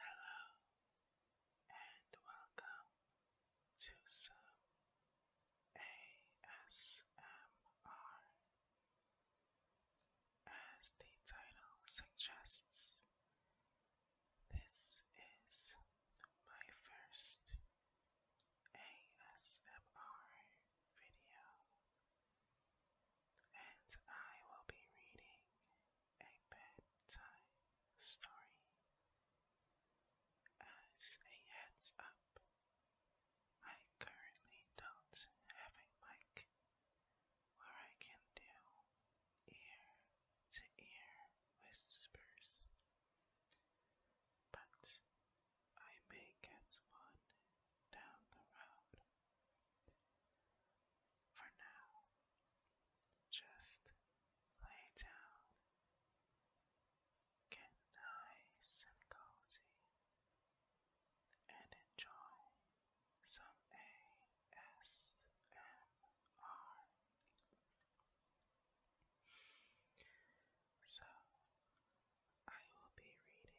Hello and welcome to some ASMR. As the title suggests, this is my first ASMR video and I will be reading a bedtime story. As a heads up, I currently don't have a mic where I can do ear to ear whispers, but I may get one down the road. For now, just lay down, get nice and cozy, and enjoy some ASMR. So, I will be reading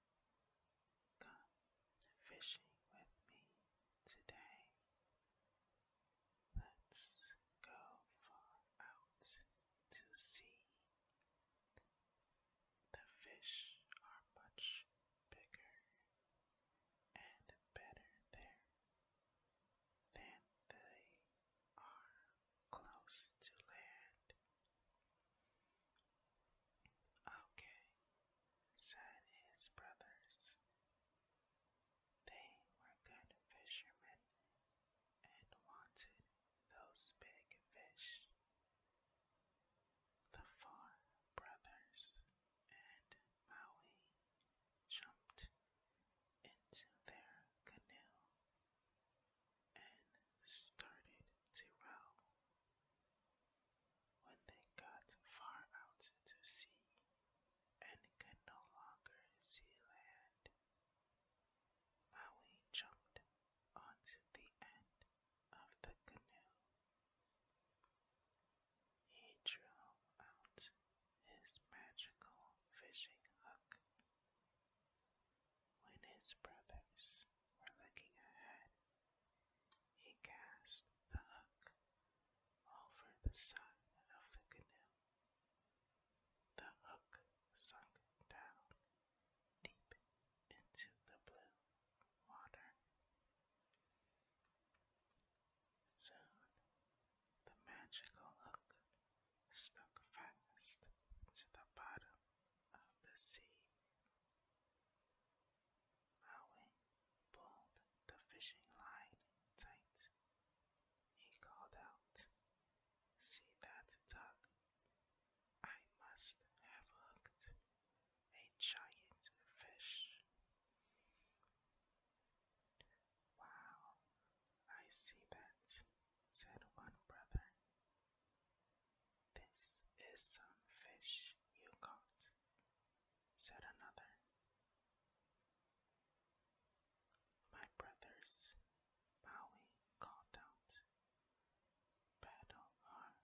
Come fishing with me today. Let's go out to sea. The fish are much bigger and better there than they are close to land. Okay, said his brothers. They were good fishermen and wanted those big fish. The four brothers and Maui jumped into their canoe and started zero. When they got far out to sea and could no longer see land, Maui jumped onto the end of the canoe. He drew out his magical fishing hook. When his brothers were looking ahead. He cast the hook over the side of the canoe. The hook sunk down deep into the blue water. Soon the magical hook stuck fast to the bottom of the sea Owen pulled the fishing line tight. He called out, See that tug? I must have hooked a giant fish. Wow, I see that, said one brother. "This is some fish you caught," said another. "My brothers," Maui called out, "paddle hard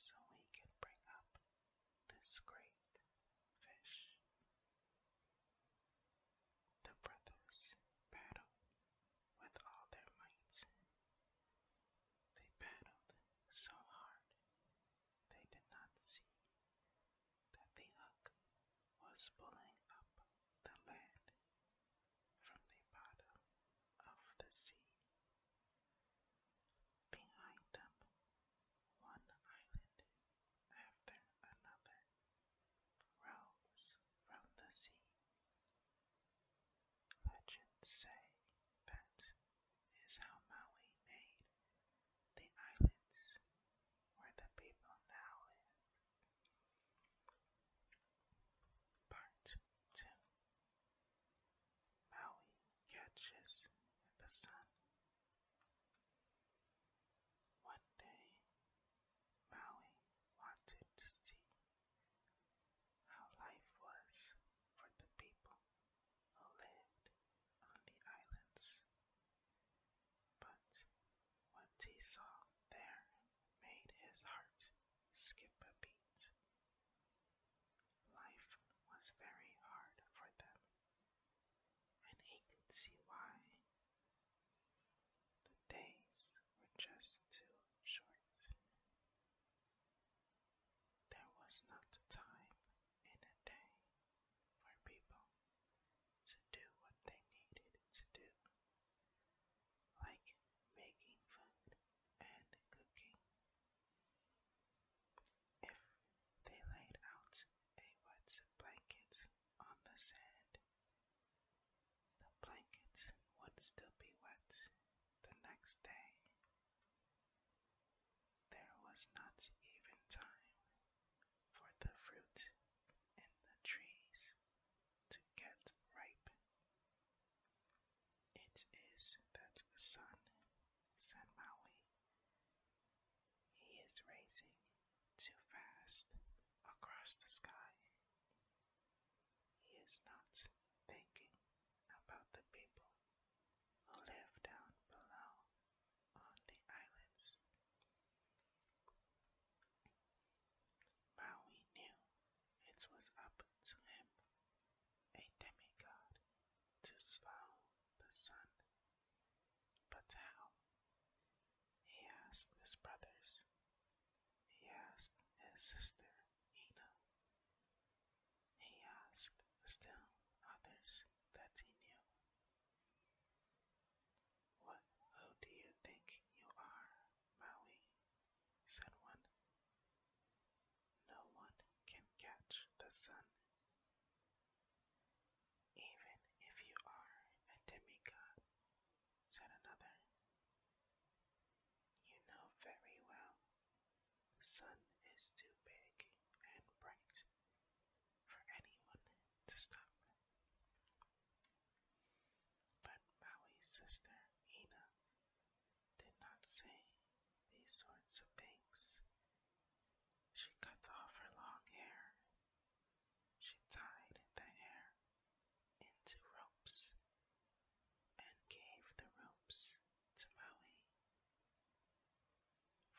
so we can bring up this great fish." The brothers paddled. With all their might, they paddled so hard they did not see that the hook was pulling up the land from the bottom of the sea. Behind them, one island after another rose from the sea Legends say that is how Maui made the islands where the people now live. Part 2 Maui catches the sun. One day, Maui wanted to see how life was for the people who lived on the islands. But what he saw there made his heart skip a beat. Life was very hard for them, and he could see why the days were just too short. There was not time in a day for people to do what they needed to do, like making food and cooking. If they laid out a wet blanket on the sand, the blankets would still be wet the next day. There was not even time for the fruit in the trees to get ripe. It is that sun, said Maui. He is racing too fast across the sky. He is not thinking about the people who live down below on the islands. Maui knew it was up to him, a demigod, to slow the sun. But how? He asked his brothers he asked his sister Ina. He asked still others that he knew. What who do you think you are, Maui? said one. No one can catch the sun. Even if you are a demigod, said another. You know very well sun is too big and bright for anyone to stop. But Maui's sister, Ina, did not say these sorts of things. She cut off her long hair she tied the hair into ropes and gave the ropes to Maui.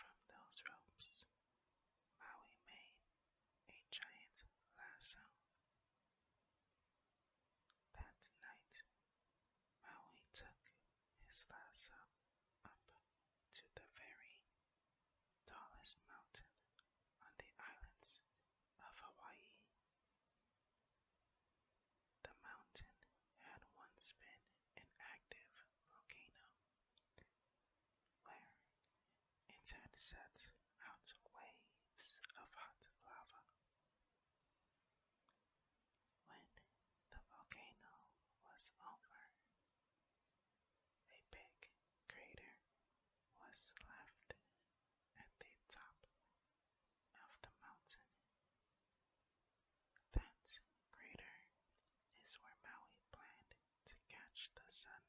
From those ropes, Maui made a giant lasso. That night, Maui took his lasso up to the very tallest mountain on the islands of Hawaii. The mountain had once been an active volcano where it had sent out waves of hot lava. When the volcano was over, a big crater was left at the top of the mountain. That crater is where Maui planned to catch the sun.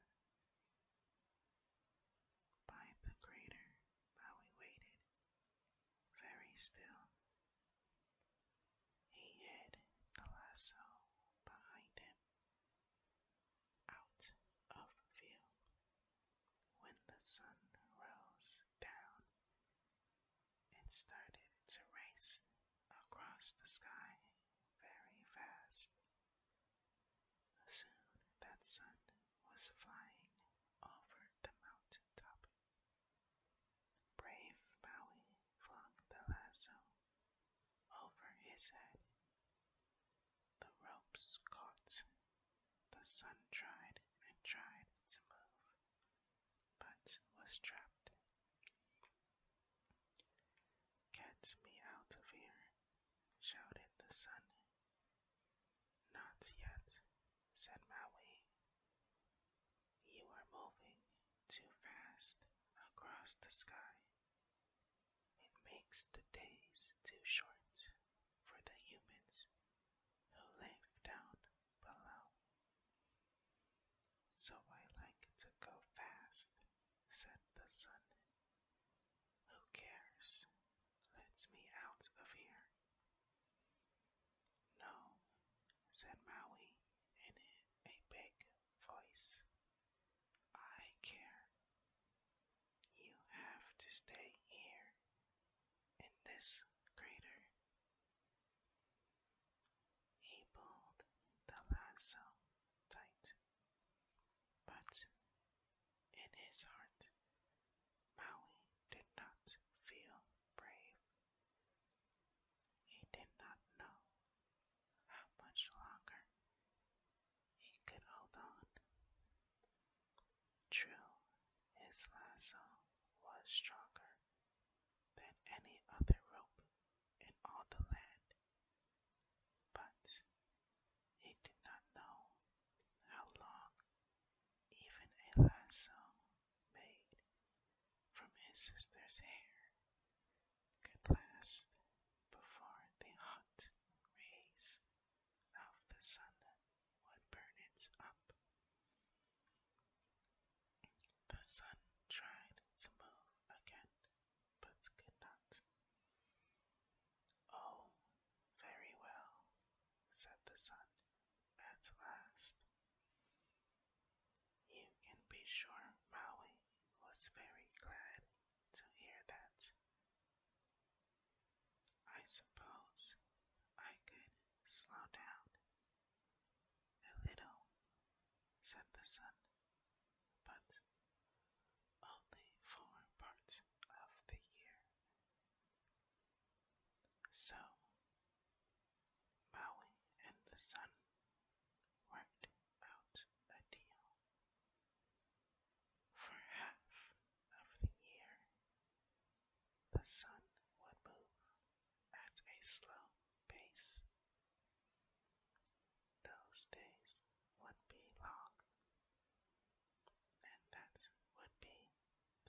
By the crater, Maui waited, very still. He hid the lasso behind him out of view. When the sun rose down, and started to race across the sky very fast. Soon that sun was flying over the mountain top. Brave Maui flung the lasso over his head. The ropes caught. The sun tried and tried to move, but was trapped. Get me out of here, shouted the sun. Not yet, said Maui. You are moving too fast across the sky. It makes the days too short for the humans who live down below. So I like to go fast, said the sun. Who cares? Let's me out of here. No, said Maui in a big voice. I care. You have to stay here in this crater. He pulled the lasso tight, but in his heart, Maui did not feel brave. He did not know how much longer he could hold on. True, his lasso was stronger than any other rope in all the land, but he did not know how long even a lasso made from his sister's hair at last before the hot rays of the sun would burn it up. The sun tried to move again, but could not. Oh, very well, said the sun at last. You can be sure Maui was very glad to hear that. I suppose I could slow down a little, said the sun, but only for part of the year. So Maui and the sun worked out a deal. For half of the year, the sun would move at a slow pace. Those days would be long, and that would be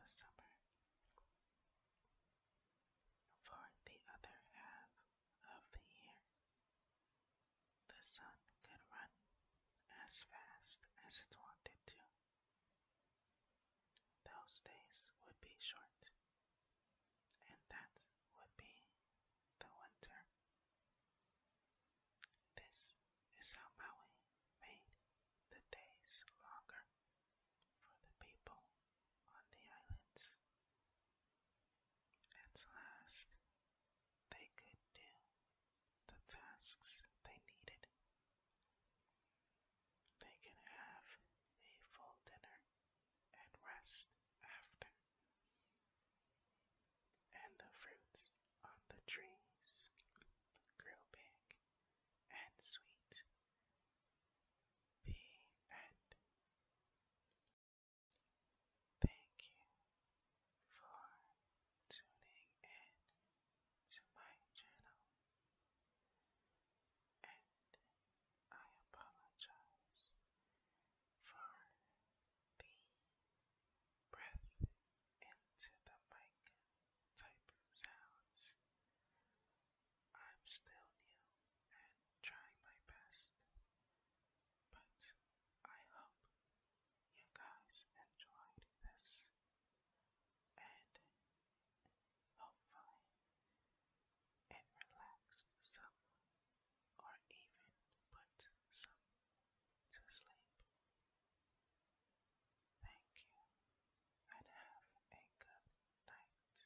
the summer. For the other half of the year. The sun could run as fast as it wanted to. Those days would be short, and that would be the winter. This is how Maui made the days longer for the people on the islands. At last, they could do the tasks they needed. They could have a full dinner and rest after. And the fruits on the trees grew big and sweet. The end. Thank you for tuning in to my channel, and I apologize for the breath into the mic type sounds. I'm still new and trying my best. But I hope you guys enjoyed this and hopefully it relaxed some or even put some to sleep. Thank you and have a good night.